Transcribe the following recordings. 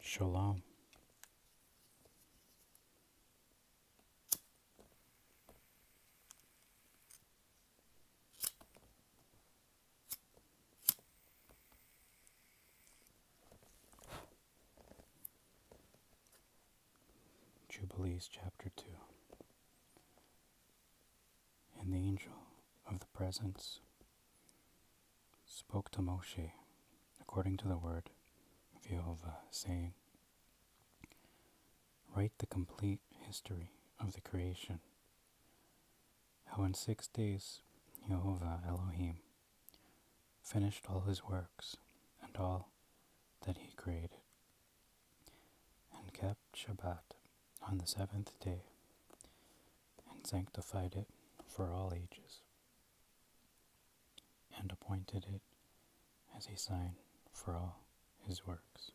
Shalom Jubilees chapter 2 And the angel of the presence spoke to Moshe according to the word of Jehovah, saying, Write the complete history of the creation, how in six days Jehovah Elohim finished all his works and all that he created, and kept Shabbat on the seventh day, and sanctified it for all ages and appointed it as a sign for all his works.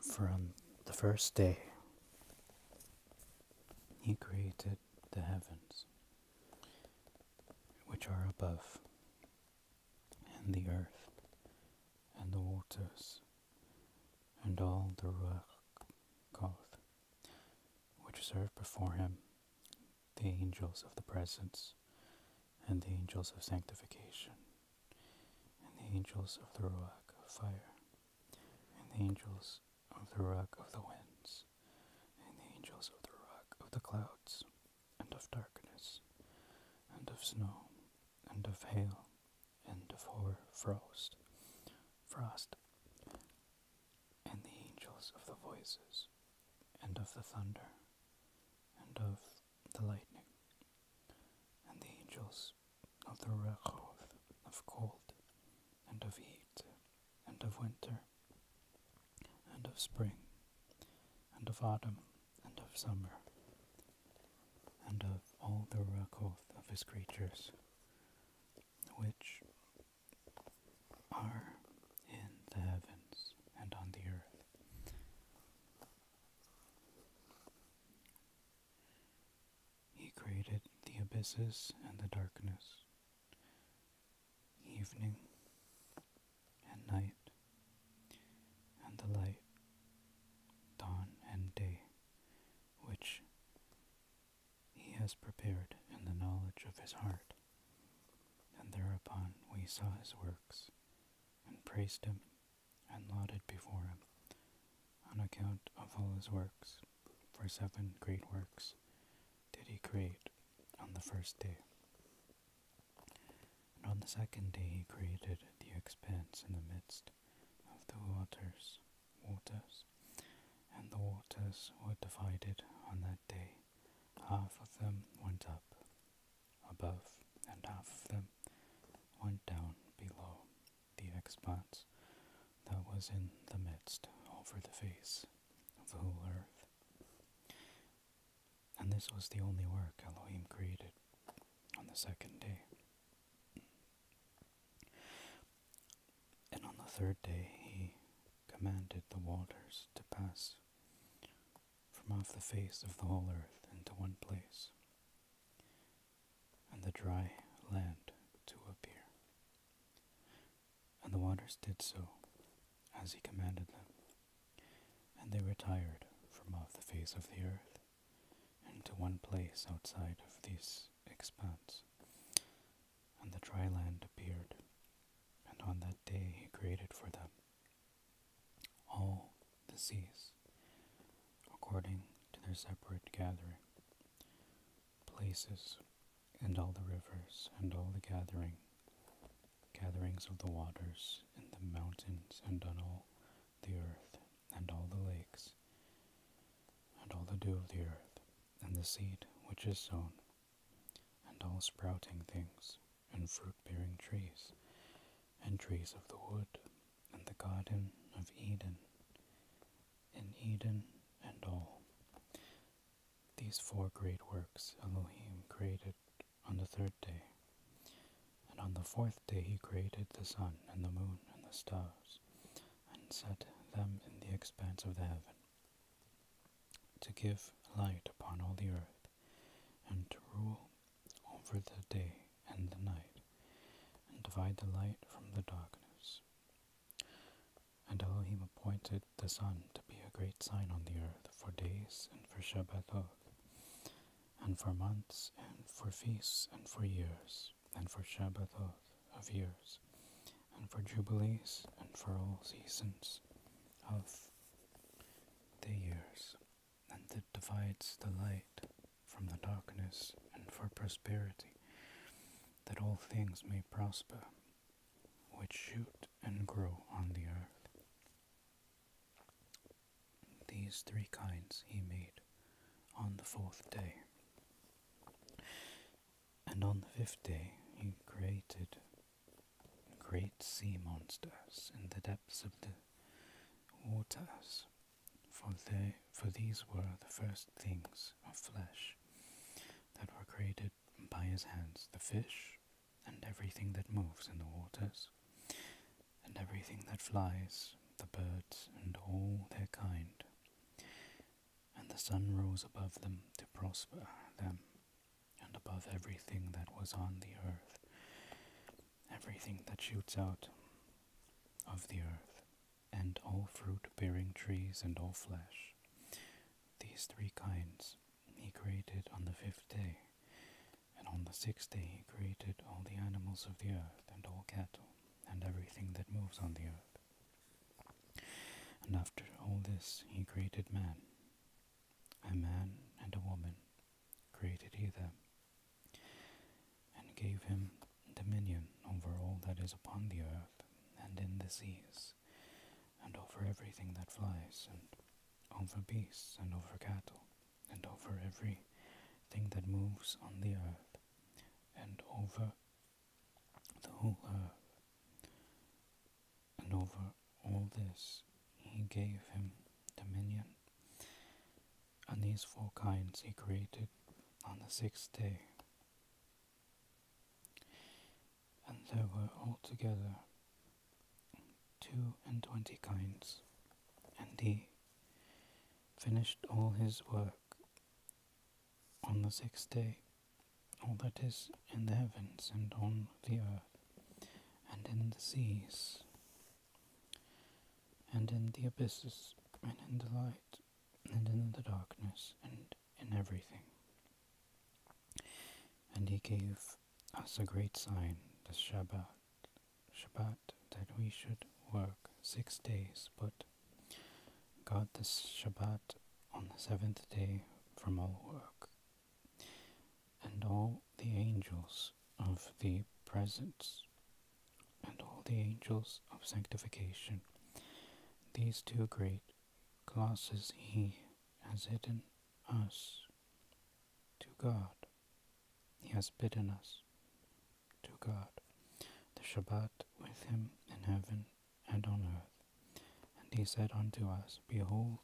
From the first day, he created the heavens, which are above, and the earth and the waters and all the Ruach Koth, which serve before him, the angels of the presence, and the angels of sanctification, and the angels of the Ruach of fire, and the angels of the Ruach of the winds, and the angels of the Ruach of the clouds, and of darkness, and of snow, and of hail, and of hoar frost, frost, and the angels of the voices, and of the thunder, and of the lightning, and the angels of the rechoth, of cold, and of heat, and of winter, and of spring, and of autumn, and of summer, and of all the record of his creatures, which are in the heavens and on the earth. He created the abysses and the darkness, evening and night, and the light, dawn and day, which he has prepared in the knowledge of his heart. And thereupon we saw his works, and praised him, and lauded before him, on account of all his works, for seven great works did he create on the first day. And on the second day he created the expanse in the midst of the waters, waters, and the waters were divided on that day. Half of them went up above, and half of them went down below the expanse that was in the midst over the face of the whole earth and this was the only work Elohim created on the second day. And on the third day he commanded the waters to pass from off the face of the whole earth into one place, and the dry land to appear. And the waters did so, as he commanded them, and they retired from off the face of the earth into one place outside of this expanse. And the dry land appeared, and on that day he created for them all the seas, according to their separate gathering, places, and all the rivers, and all the gathering, gatherings of the waters, and the mountains, and on all the earth, and all the lakes, and all the dew of the earth, and the seed which is sown, and all sprouting things, and fruit-bearing trees, and trees of the wood, and the garden of Eden, in Eden and all. These four great works Elohim created on the third day. And on the fourth day he created the sun and the moon and the stars, and set them in the expanse of the heaven, to give light upon all the earth, and to rule over the day and the night, and divide the light from the darkness. And Elohim appointed the sun to be a great sign on the earth for days and for Shabbatot, and for months, and for feasts, and for years, and for Shabbatot of years, and for jubilees, and for all seasons of the years, and that divides the light from the darkness, and for prosperity, that all things may prosper, which shoot and grow on the earth. These three kinds he made on the fourth day. And on the fifth day he created great sea monsters in the depths of the waters, for they for these were the first things of flesh that were created by his hands, the fish and everything that moves in the waters, and everything that flies, the birds and all their kind. And the sun rose above them to prosper them, and above everything that was on the earth, everything that shoots out of the earth, and all fruit bearing trees and all flesh. These three kinds he created on the fifth day, and on the sixth day he created all the animals of the earth, and all cattle, and everything that moves on the earth. And after all this he created man. A man and a woman created he them, and gave him dominion over all that is upon the earth, and in the seas, and over everything that flies, and over beasts, and over cattle, and over every thing that moves on the earth, and over the whole earth. And over all this he gave him dominion. And these four kinds he created on the sixth day. And there were altogether two and twenty kinds, and he finished all his work on the sixth day, all that is in the heavens and on the earth, and in the seas, and in the abysses, and in the light, and in the darkness, and in everything. And he gave us a great sign, the Shabbat, Shabbat that we should work six days, but God the Shabbat on the seventh day from all work. And all the angels of the presence, and all the angels of sanctification, these two great classes he has hidden us to God he has bidden us to God, the Shabbat with him in heaven and on earth. And he said unto us, Behold,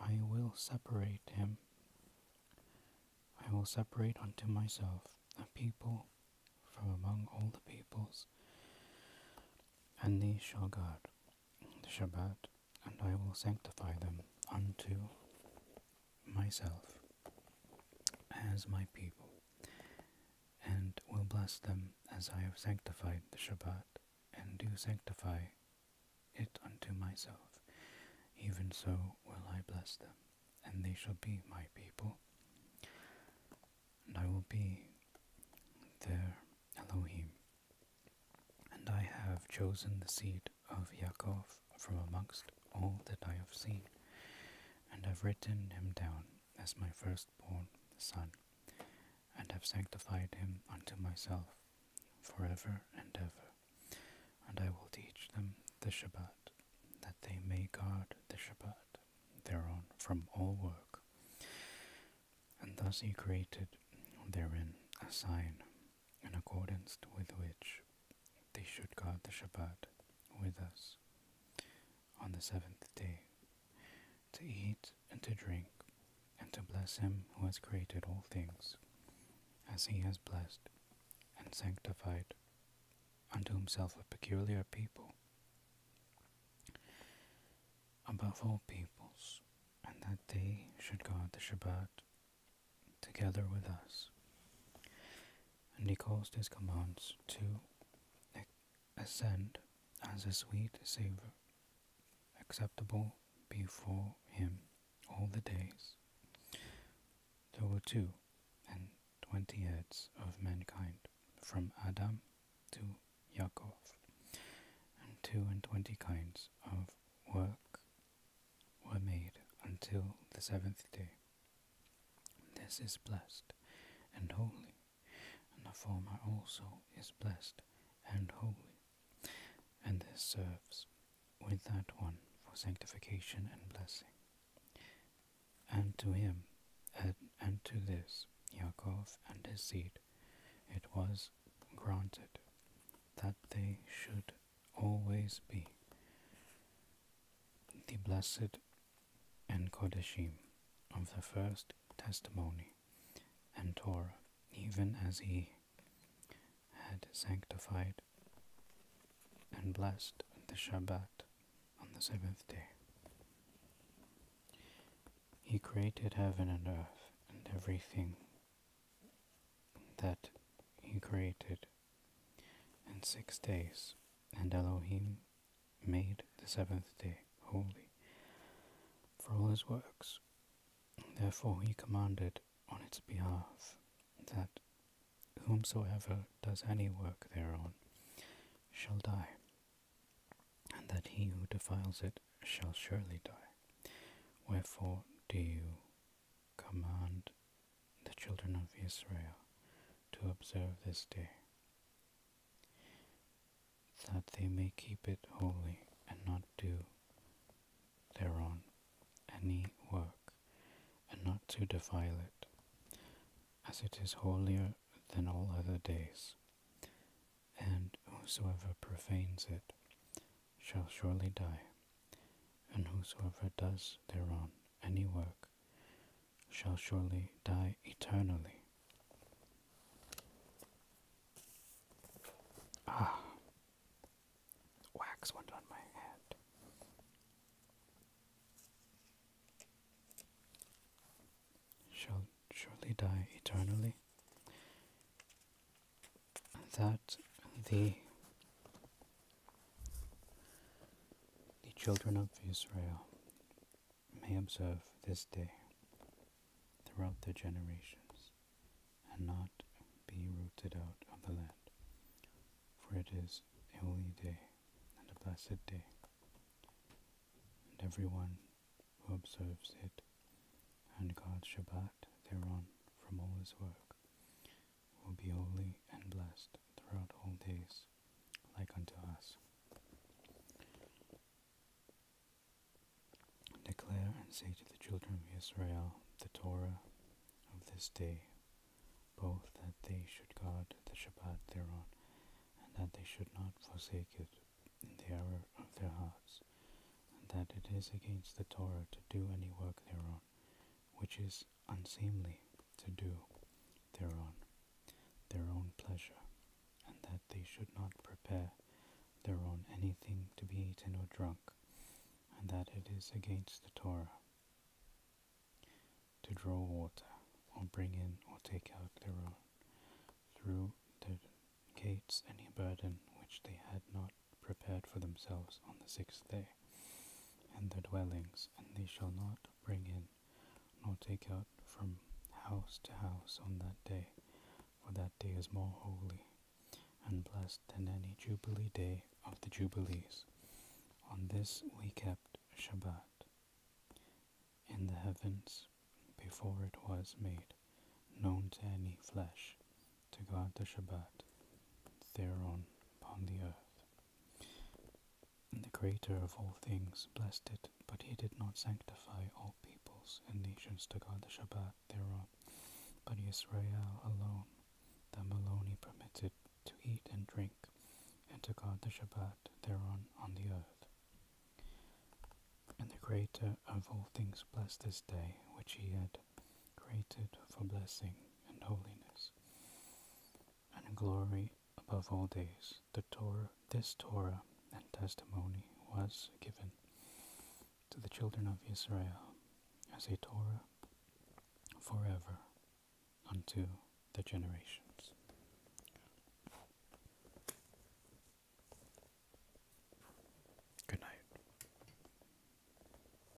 I will separate him, I will separate unto myself a people from among all the peoples, and these shall guard the Shabbat, and I will sanctify them unto myself as my people, and will bless them as I have sanctified the Shabbat, and do sanctify it unto myself. Even so will I bless them, and they shall be my people, and I will be their Elohim. And I have chosen the seed of Yaakov from amongst all that I have seen, and have written him down as my firstborn son, and have sanctified him unto myself for ever and ever. And I will teach them the Shabbat, that they may guard the Shabbat thereon from all work. And thus he created therein a sign in accordance with which they should guard the Shabbat with us on the seventh day, to eat and to drink, and to bless him who has created all things, as he has blessed and sanctified unto himself a peculiar people, above all peoples, and that they should guard the Shabbat together with us. And he caused his commands to ascend as a sweet savour, acceptable before him all the days. There were two and twenty heads of mankind, from Adam to Yaakov, and two and twenty kinds of work were made until the seventh day. This is blessed and holy, and the former also is blessed and holy, and this serves with that one for sanctification and blessing. And to him, and, to this, Yaakov and his seed, it was granted that they should always be the blessed and kodeshim of the first testimony and Torah, even as he had sanctified and blessed the Shabbat on the seventh day. He created heaven and earth and everything that he created and six days. And Elohim made the seventh day holy for all his works. Therefore he commanded on its behalf that whomsoever does any work thereon shall die, and that he who defiles it shall surely die. Wherefore do you Command the children of Israel to observe this day, that they may keep it holy and not do thereon any work, and not to defile it, as it is holier than all other days, and whosoever profanes it shall surely die, and whosoever does thereon any work shall surely die eternally. Ah, wax went on my head. Shall surely die eternally that the the children of Israel may observe this day throughout their generations and not be rooted out of the land, for it is a holy day and a blessed day, and everyone who observes it and guards Shabbat thereon from all his work will be holy and blessed throughout all days, like unto us. Declare and say to the children of Israel the Torah of this day, both that they should guard the Shabbat thereon, and that they should not forsake it in the error of their hearts, and that it is against the Torah to do any work thereon, which is unseemly to do thereon their own pleasure, and that they should not prepare their own anything to be eaten or drunk, and that it is against the Torah to draw water, or bring in or take out their own through the gates any burden which they had not prepared for themselves on the sixth day, and their dwellings, and they shall not bring in nor take out from house to house on that day, for that day is more holy and blessed than any Jubilee day of the Jubilees. On this we kept Shabbat in the heavens before it was made known to any flesh, to guard the Shabbat thereon upon the earth. And the Creator of all things blessed it, but he did not sanctify all peoples and nations to guard the Shabbat thereon, but Israel alone, them Maloni permitted to eat and drink, and to guard the Shabbat thereon on the earth. And the Creator of all things blessed this day which he had created for blessing and holiness and glory above all days. The Torah, this Torah and testimony was given to the children of Israel as a Torah forever unto the generations. Good night.